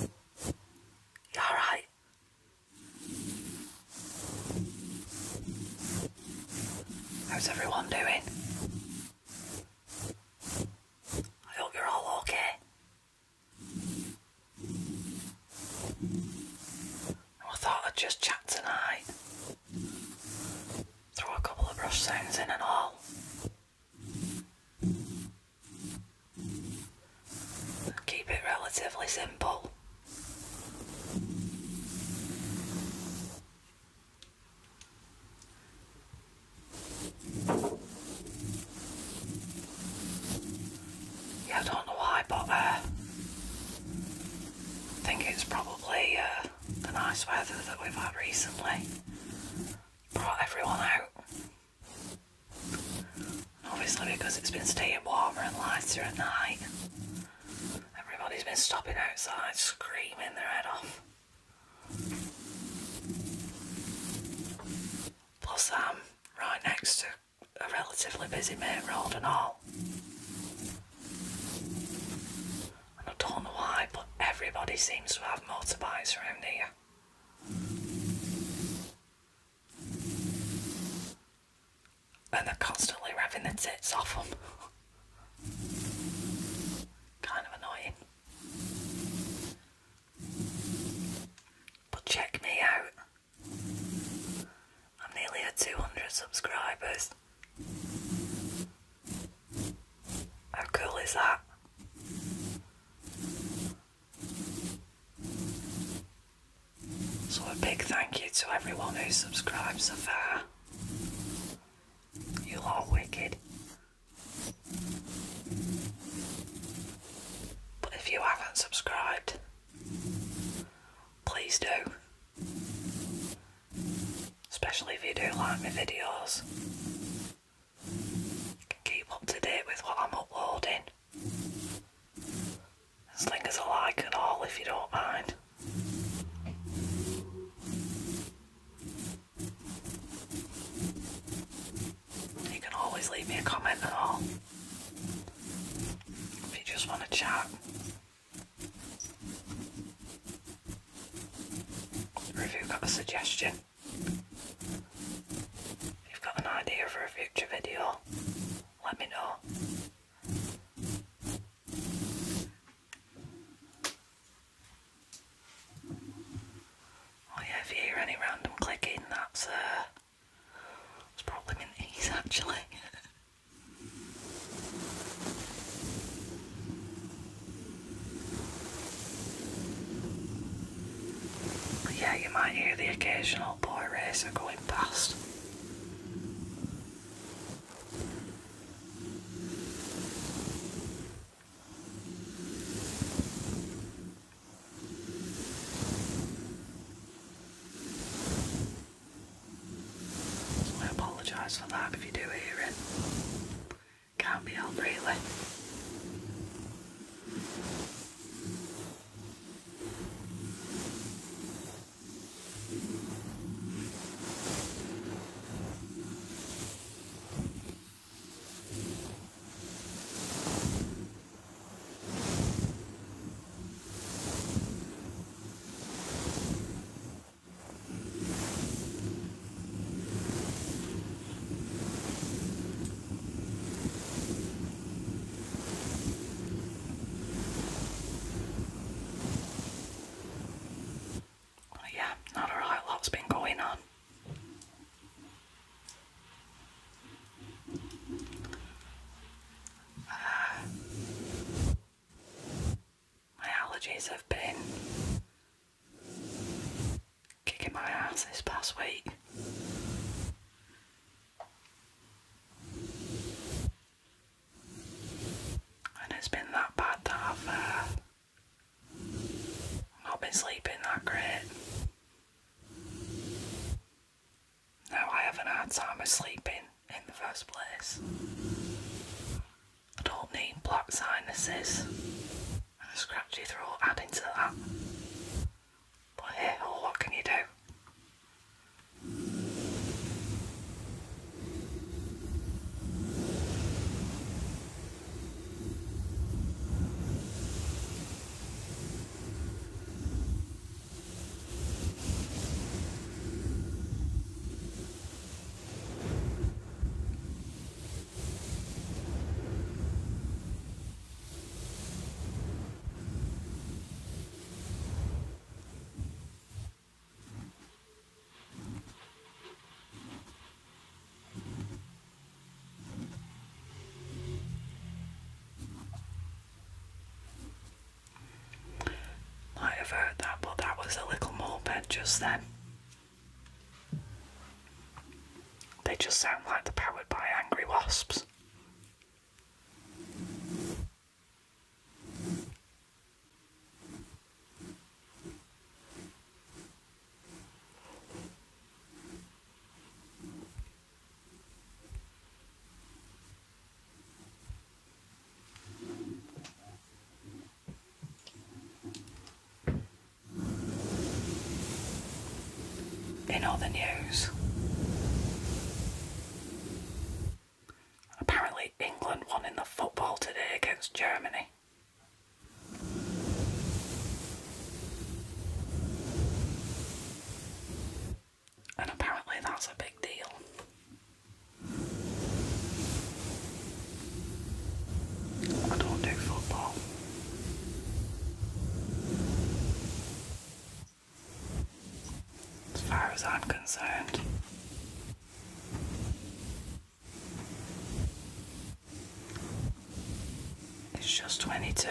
You alright? How's everyone doing? I hope you're all okay. Oh, I thought I'd just chat tonight. Throw a couple of brush sounds in and all. Keep it relatively simple. Yeah, I don't know why, but uh, I think it's probably uh, the nice weather that we've had recently brought everyone out. Obviously, oh, because it's been staying warmer and lighter at night, everybody's been stopping outside screaming their head off. Plus, I'm right next to a relatively busy main road and all. And I don't know why, but everybody seems to have motorbikes around here. And they're constantly rapping their tits off kind of annoying. But check me out. I'm nearly at 200 subscribers. How cool is that? So a big thank you to everyone who subscribed so far. You are wicked. But if you haven't subscribed, please do. Especially if you do like my videos. Keep up to date with what I'm uploading. Sling us a like and all if you don't mind. You can always leave me a comment and all. If you just want to chat. Or got a suggestion. If you've got an idea for a future video, let me know. Oh yeah, if you hear any random clicking, that's uh, it's probably my knees actually. yeah, you might hear the occasional boy racer going past. I apologise for that if you do hear it all Breland yeah, not a lot, lot's been going on. Uh, my allergies have been Kicking my ass this past week. And it's been that bad that I've uh, not been sleeping that great. Now I have an hard time of sleeping in the first place. I don't need black sinuses a scratchy throat adding to that. But hey, oh, what can you do? I have heard that, but that was a little moped just then. They just sound like they're powered by angry wasps. In other news, apparently England won in the football today against Germany. And apparently that's a big deal. I don't do football. As far as I'm concerned. It's just 22.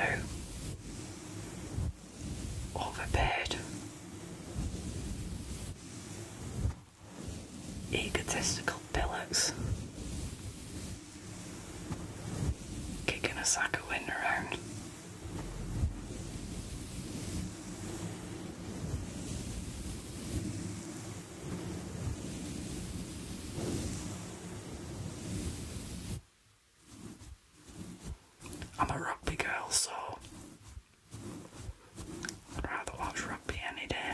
Overpaid. Egotistical billocks. Kicking a soccer win around. I'm a rugby girl, so I'd rather watch rugby any day.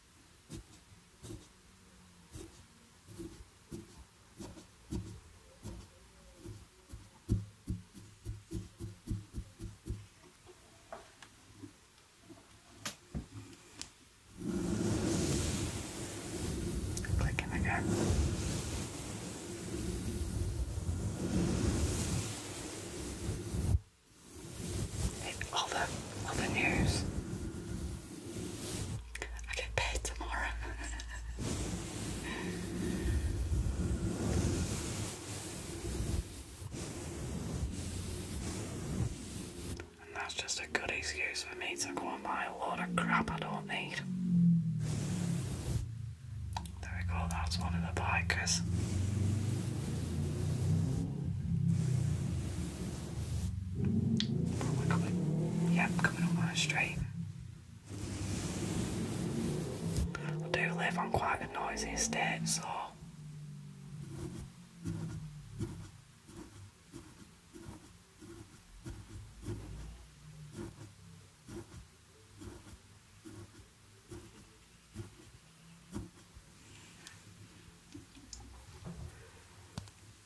Clicking again. It, all the all the news I get paid tomorrow. and that's just a good excuse for me to go and buy a load of crap I don't need. There we go, that's one of the bikers. Forward click. Yep, coming on a straight. I do live on quite a noisy street, so.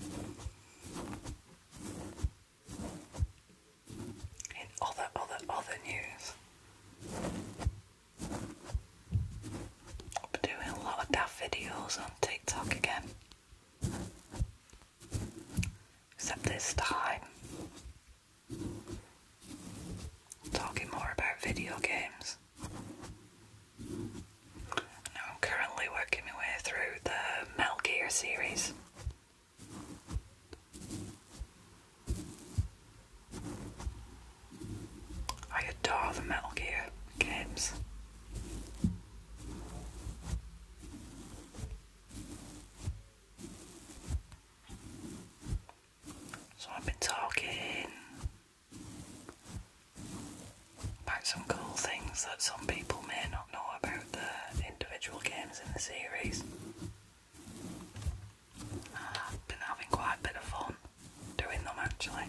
and other, other, other news. I've doing a lot of daft videos on TikTok again. Except this time, talking more about video games. I'm currently working my way through the Metal Gear series. I adore the Metal Gear games. So I've been talking about some cool things that some people may not know about the individual games in the series. I've been having quite a bit of fun doing them actually.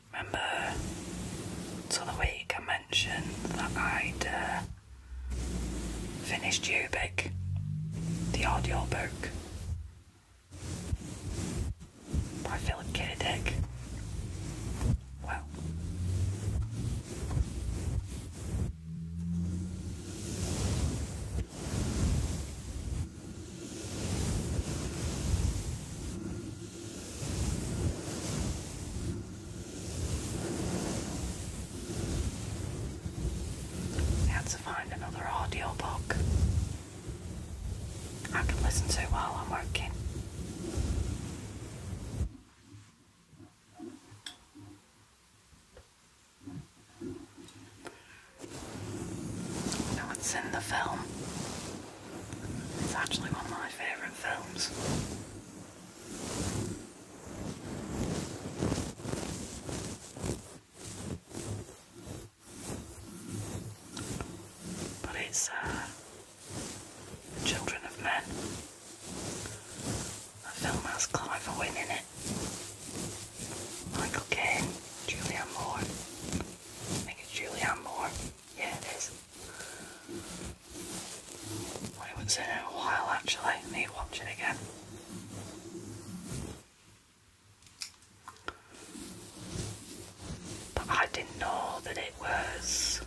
Remember, so week I mentioned that I'd uh, finished Ubik, the book by Philip K. Dick. Well, how to find another audio book. I can listen to while I'm working. So it's in the film. It's actually one of my favourite films. But it's uh, Children of Men. The film has Clive Owen in it. Michael Caine, Julianne Moore, I think it's Julianne Moore. Yeah, it is. I haven't seen it in a while actually. need to watch it again. But I didn't know that it was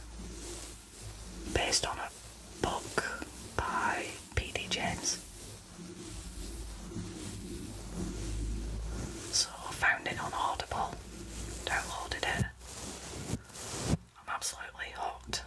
based on a book by P.D. James. I found it on Audible, downloaded it. I'm absolutely hooked.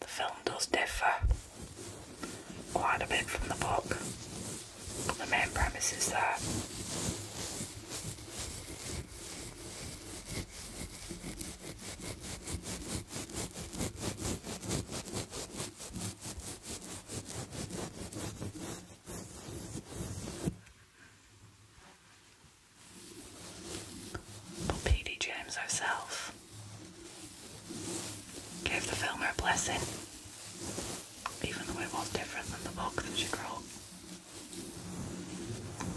The film does differ quite a bit from the book, but the main premise is that. P.D. James herself gave the film her blessing, even though it was different than the book that she wrote.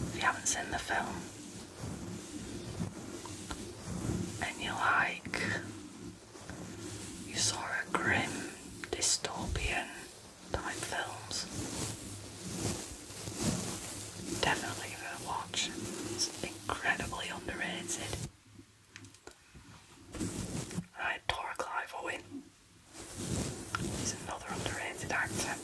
If you haven't seen the film and you like, you saw a grim dystopian time films. Definitely worth a It's incredibly underrated. Right, Tora Clive Owen. He's another underrated actor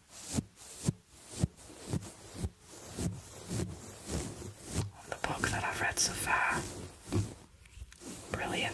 the book that I've read so far. Brilliant.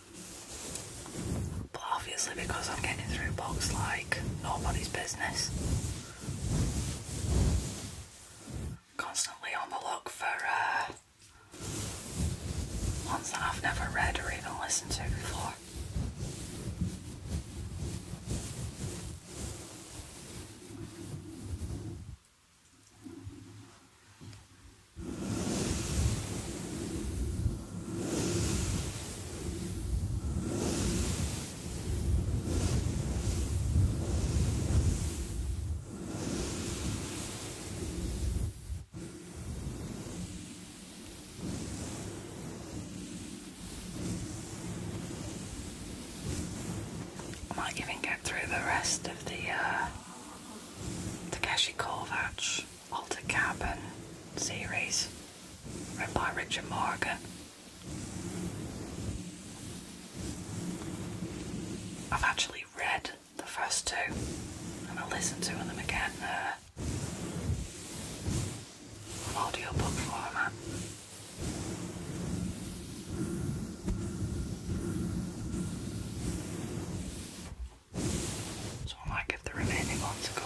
But obviously, because I'm getting through books like nobody's business, constantly on the look for uh, ones that I've never read or even listened to before. I might even get through the rest of the uh, Takeshi Kovacs, Walter Cabin series, read by Richard Morgan. I've actually read the first two and I will listen to them again uh, audiobook format. So I might give the remaining ones a go.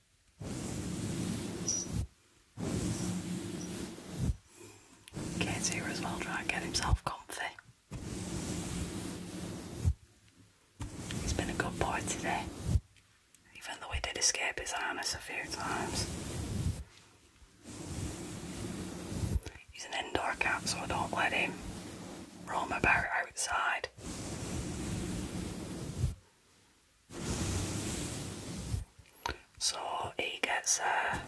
K2 well, try and get himself comfy. He's been a good boy today, even though he did escape his harness a few times. He's an indoor cat, so I don't let him roam about outside. So he gets uh,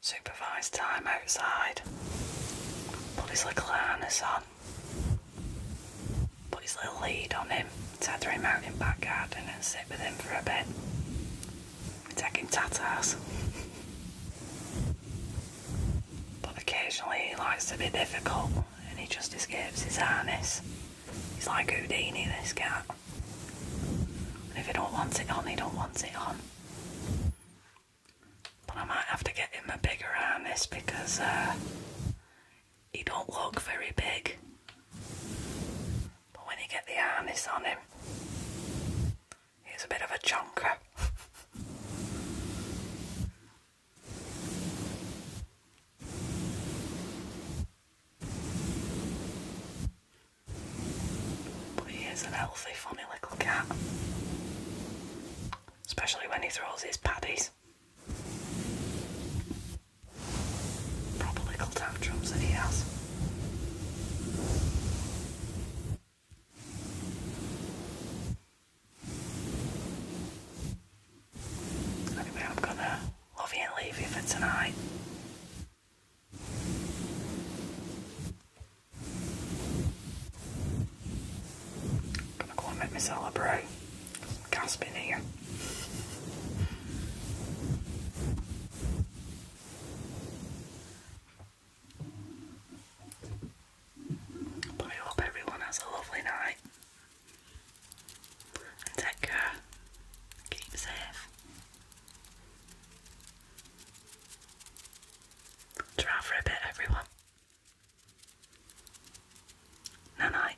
supervised time outside, put his little harness on, put his little lead on him, tether him out in back garden and sit with him for a bit. We take tatas. but occasionally he likes to be difficult and he just escapes his harness. He's like Houdini, this cat. And if he don't want it on, he don't want it on. But I might have to get him a bigger harness because uh, he don't look very big. But when you get the harness on him, he's a bit of a chunker. But he is a healthy, funny little cat. Especially when he throws his paddies. Proper little tantrums that he Anyway, I'm gonna love you and leave you for tonight. gonna go and make me celebrate. gasping here. I hope everyone has a lovely night and take care. Keep safe. Try for a bit, everyone. Night night.